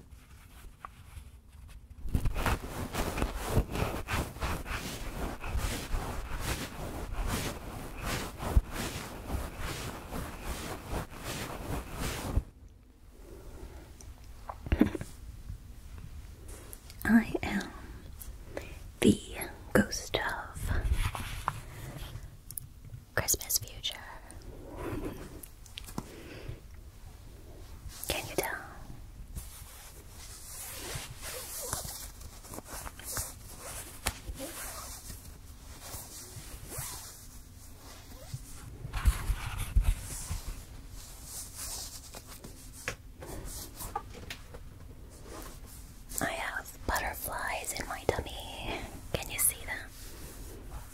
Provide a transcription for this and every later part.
I am the ghost of Christmas future. Can you tell? I have butterflies in my tummy. Can you see them?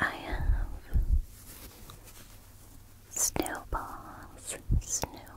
I have snowballs, snowballs.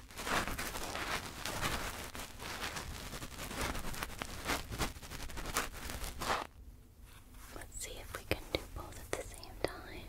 Let's see if we can do both at the same time. Okay.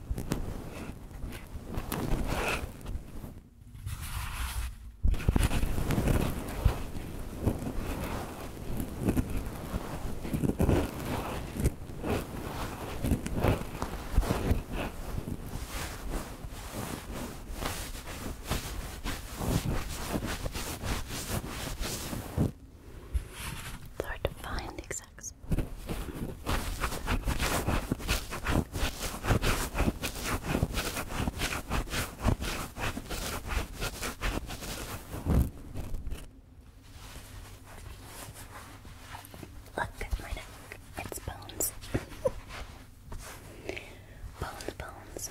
It's hard to find the exact Look at my neck. It's bones. bones, bones.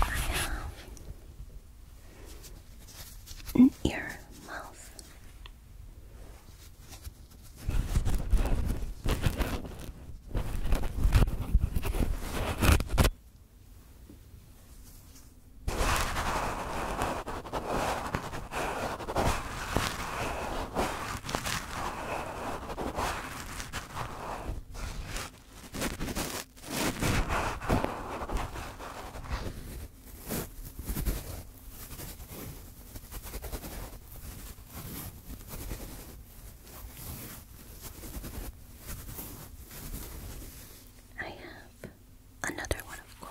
I have an ear mouth. I have another one, of course.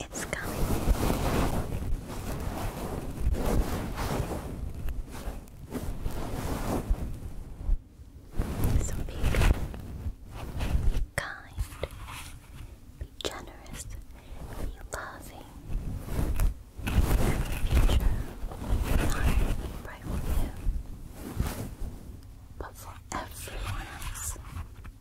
It's coming. kind, be generous, be loving. And the future not be bright but for everyone else.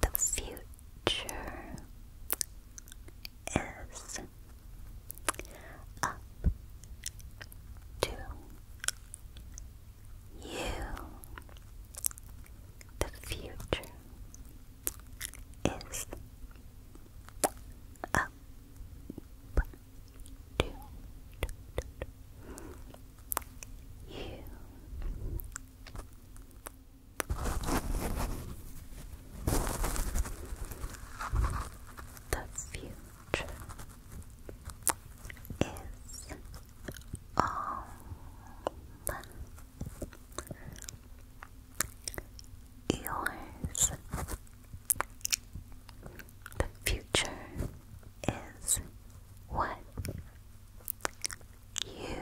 The future is up to you. The future is up, down, you the future is all yours the future is what you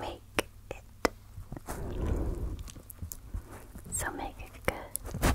make it. So make it good.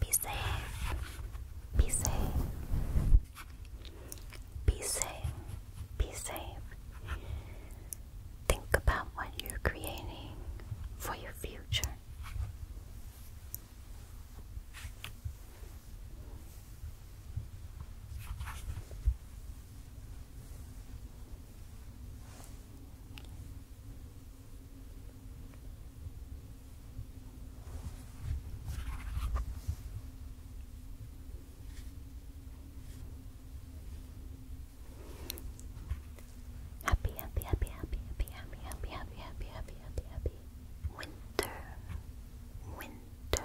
Be safe. Be safe. Be safe. Be safe. Think about what you're creating for your future. Happy, happy, happy, happy, happy, happy, happy, happy, happy, happy, happy, happy. Winter, winter.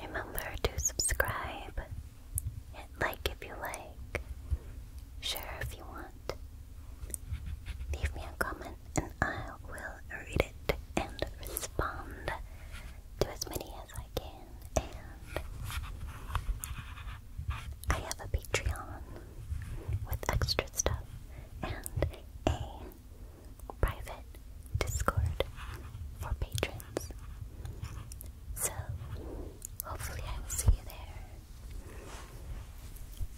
Remember to subscribe. like if you like. Share if you want. Leave me a comment and I will read it and respond do as many as I can, and I have a Patreon with extra stuff and a private Discord for patrons. So, hopefully, I will see you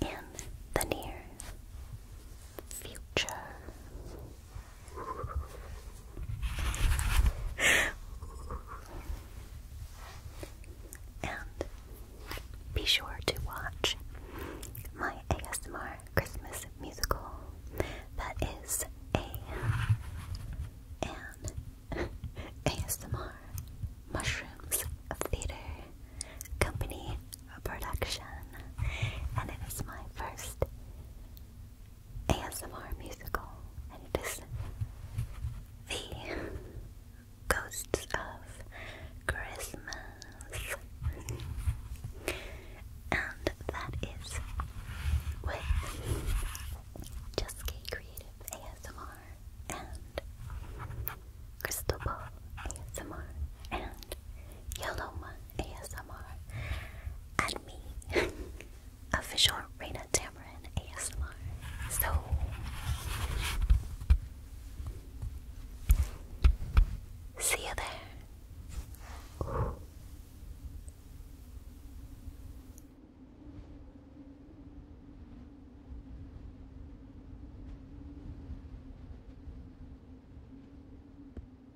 there in the near future and be sure to watch my ASMR Christmas musical that is a an ASMR Mushrooms Theater Company a production, and it is my first ASMR musical, and it is the Ghosts of Christmas, and that is with Just K Creative ASMR and Crystal Ball ASMR and Yoloma ASMR. ASMR and me, official Reina Tamarin ASMR. So see you there.